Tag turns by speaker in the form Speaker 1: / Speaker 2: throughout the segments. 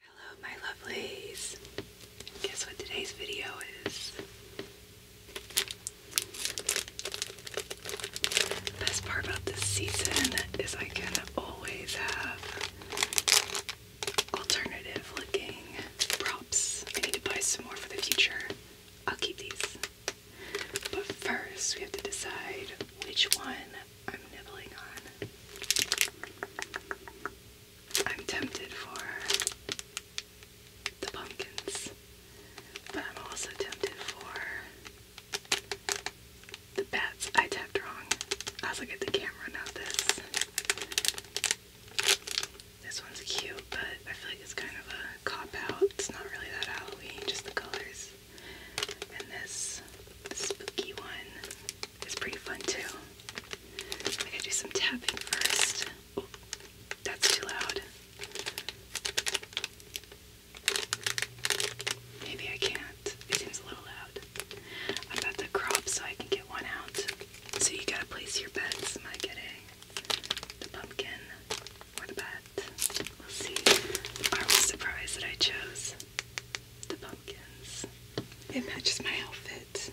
Speaker 1: Hello my lovelies! Guess what today's video is? best part about this season is I can always have alternative looking props. I need to buy some more for the future. I'll keep these. But first we have to decide which one I'm nibbling on. I'm tempted for the pumpkins, but I'm also tempted for the bats. I tapped wrong. I was looking at the camera, not this. This one's cute, but I feel like it's kind of a cop out. It's not really that Halloween, just the colors. And this the spooky one is pretty fun too. I gotta do some tapping first. Oh, that's too loud. Maybe I can't. It seems a little loud. I'm about to crop so I can get one out. So you gotta place your bets. Am I getting the pumpkin or the bat? We'll see. I was surprised that I chose the pumpkins. It matches my outfit.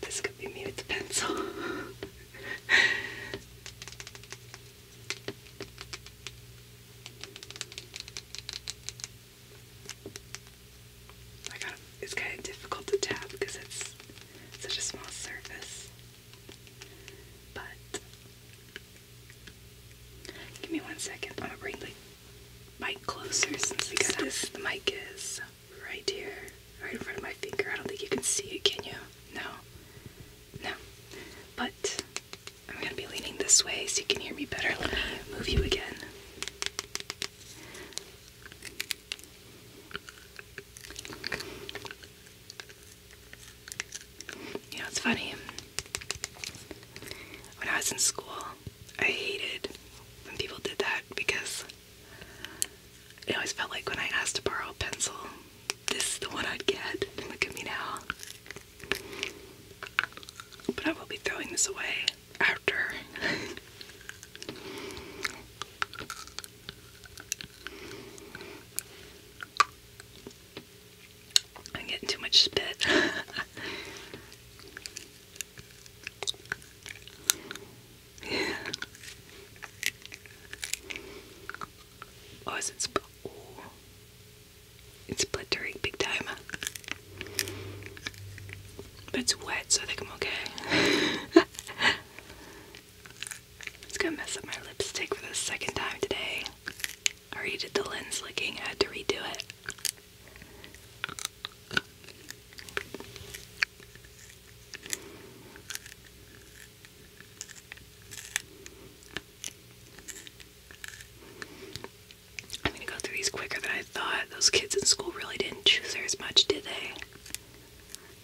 Speaker 1: This could be me with the pencil. it's kind of difficult to tap because it's such a small surface. But give me one mic closer since because this the mic is right here, right in front of my finger. I don't think you can see it, can you? No. No. But I'm gonna be leaning this way so you can hear me better. Let me move you again. You know, it's funny. When I was in school, I hated when people did that because it always felt like when I asked to borrow a pencil, this is the one I'd get. And look at me now. But I will be throwing this away after. I'm getting too much spit. Yeah. Oh, is It's splittering big time. But it's wet, so I think I'm okay. it's gonna mess up my lipstick for the second time today. already did the lens licking, I had to redo it. I'm gonna go through these quicker than I thought. Those kids in school really didn't choose her as much, did they?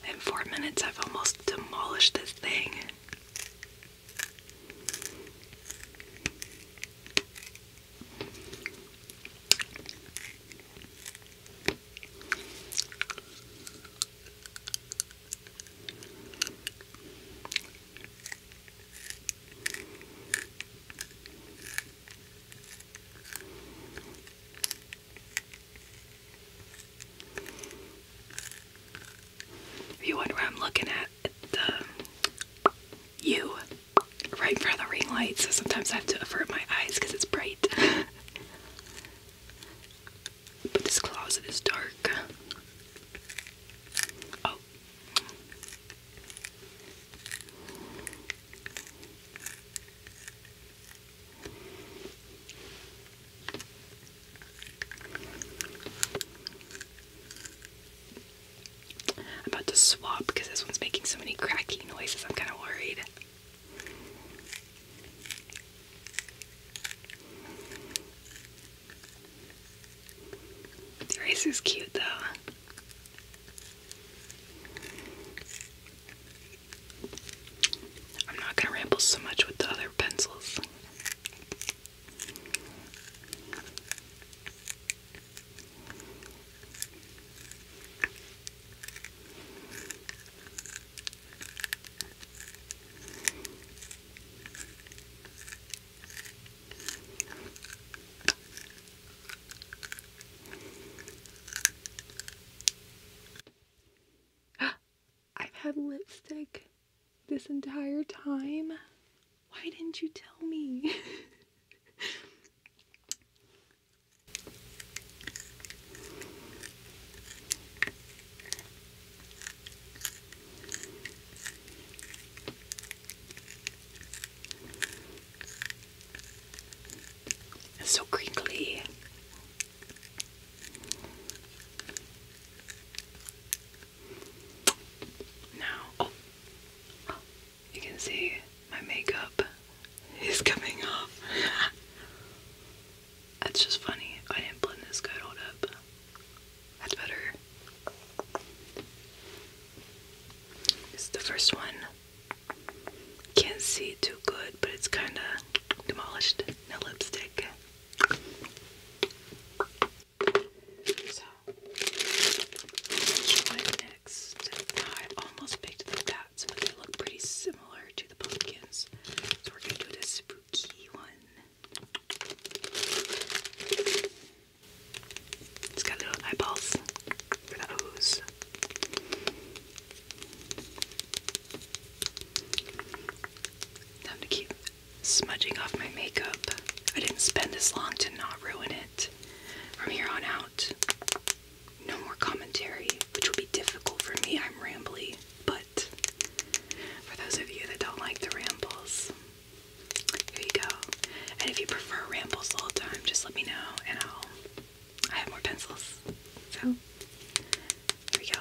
Speaker 1: In four minutes, I've almost demolished this thing. If you wonder I'm looking at, the you right in front of the ring light, so sometimes I have to avert my eyes because it's bright. but this closet is dark. Oh. I'm about to swap because this one's making so many cracky noises. I'm kind of worried. The race is cute though. I'm not going to ramble so much with the other pencils. I've had lipstick this entire time. Why didn't you tell me? so crinkly. Now, oh. You can see my makeup is coming off. That's just funny. I didn't blend this good. Hold up. That's better. This is the first one. Can't see too good, but it's kind of demolished. No lipstick. So, let next. I almost picked the bats, but they look pretty similar to the pumpkins. So, we're going to do this spooky one. It's got little eyeballs for the O's. Time to keep smudging off my makeup. I didn't spend this long to not ruin it. From here on out, no more commentary, which will be difficult for me. I'm rambling, but for those of you that don't like the rambles, here you go. And if you prefer rambles all the time, just let me know and I'll I have more pencils. So here we go.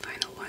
Speaker 1: Final one.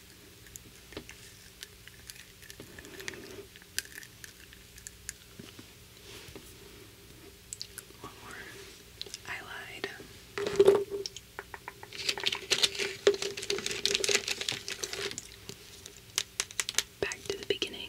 Speaker 1: One more. I lied. Back to the beginning.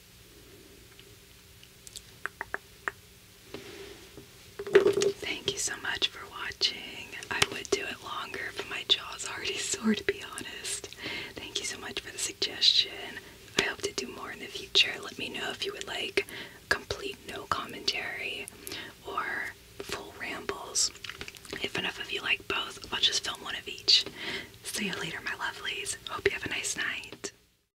Speaker 1: Thank you so much for watching. I would do it longer, but my jaw's already sore, to be honest. Thank you so much for the suggestion. I hope to do more in the future. Let me know if you would like complete no commentary or full rambles. If enough of you like both, I'll just film one of each. See you later, my lovelies. Hope you have a nice night.